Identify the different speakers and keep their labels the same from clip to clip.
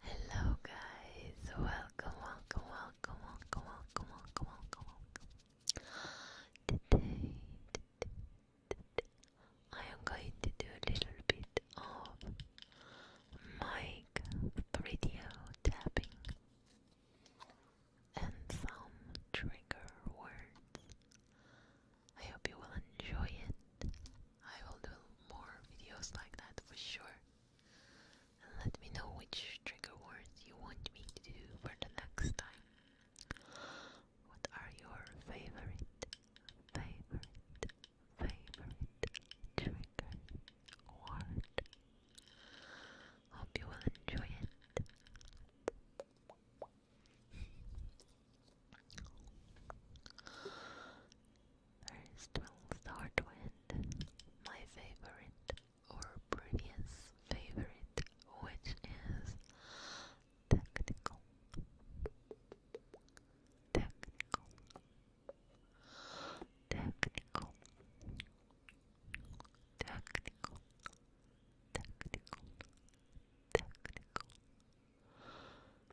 Speaker 1: Hello guys, welcome, welcome, welcome, welcome, welcome, welcome, welcome, welcome. Today, today, today I am going to do a little bit of mic radio tapping and some trigger words. I hope you will enjoy it. I will do more videos like that for sure. let me know which trigger words you want me to do for the next time. What are your favorite, favorite, favorite trigger word? Hope you will enjoy it. First we'll start with my favorite or previous favorite, which is tactical. Technical. Technical. Technical. Technical. Technical.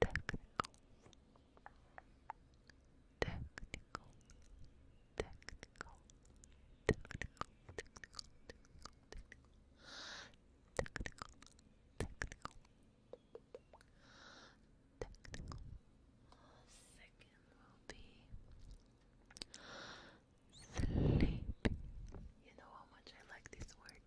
Speaker 1: technical, technical, technical, technical, technical, technical, technical, technical. Second will be sleepy. You know how much I like this word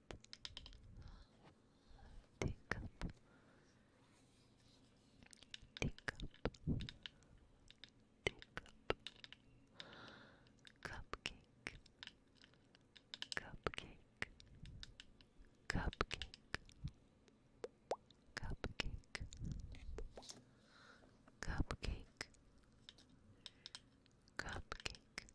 Speaker 1: Think up. Think up. Think up. Cupcake. Cupcake. Cupcake. Cupcake. Cupcake. Cupcake.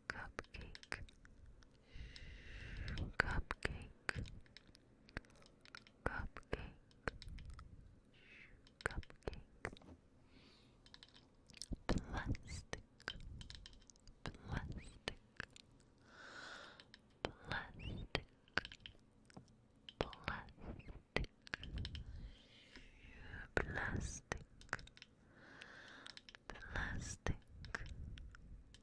Speaker 1: cupcake cupcake cupcake cupcake plastic plastic plastic plastic plastic plastic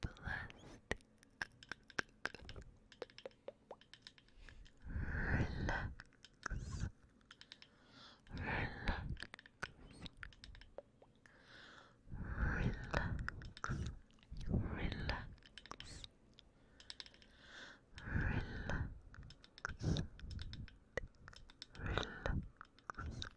Speaker 1: blessed. Relax. Relax. Relax. Relax. Relax. Relax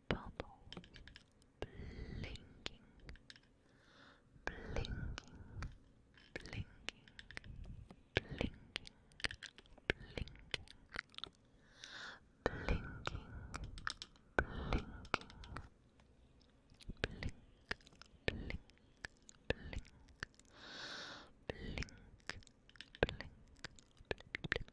Speaker 1: bubble blinking, blinking, blinking, blinking, blinking, blinking, blinking, blink, blink, blink, blink, blink, blink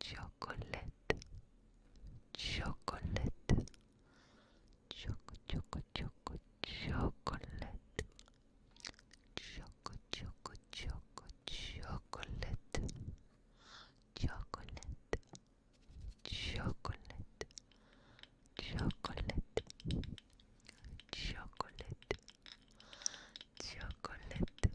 Speaker 2: chocolate chocolate choco choco choco chocolate choco choco choco chocolate chocolate chocolate chocolate chocolate chocolate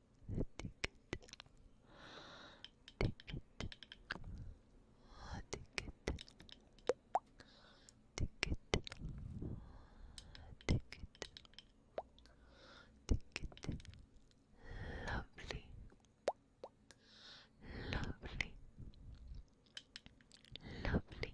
Speaker 2: lovely, lovely, lovely. Lovely,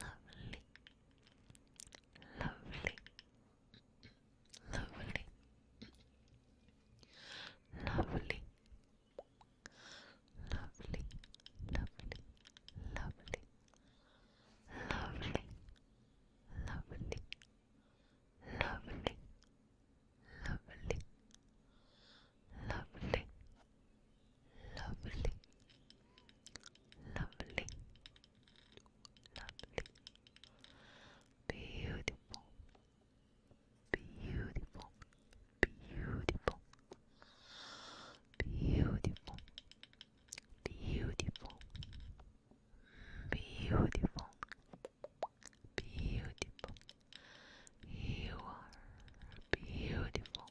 Speaker 2: lovely, lovely, lovely, lovely, lovely, lovely, lovely, lovely, lovely, lovely. Lovely, lovely, lovely, lovely, lovely, beautiful, beautiful, beautiful, beautiful, beautiful, beautiful. Beautiful, you are beautiful,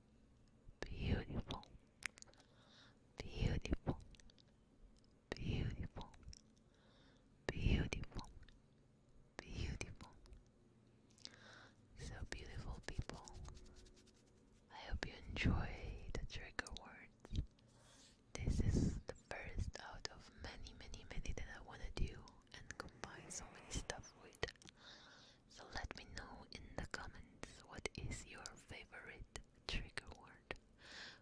Speaker 2: beautiful, beautiful, beautiful, beautiful, beautiful. So beautiful people. I hope you enjoy the trigger words. This is the first out of many, many, many that I want to do and combine so many stuff with. So let me know in the comments what is your favorite trigger word,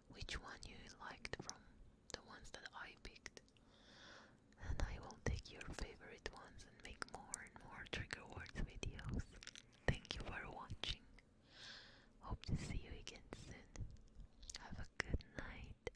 Speaker 2: which one you liked from the ones that I picked. And I will take your favorite ones and make more and more trigger words videos. Thank you for watching. Hope to see you again soon. Have a good night.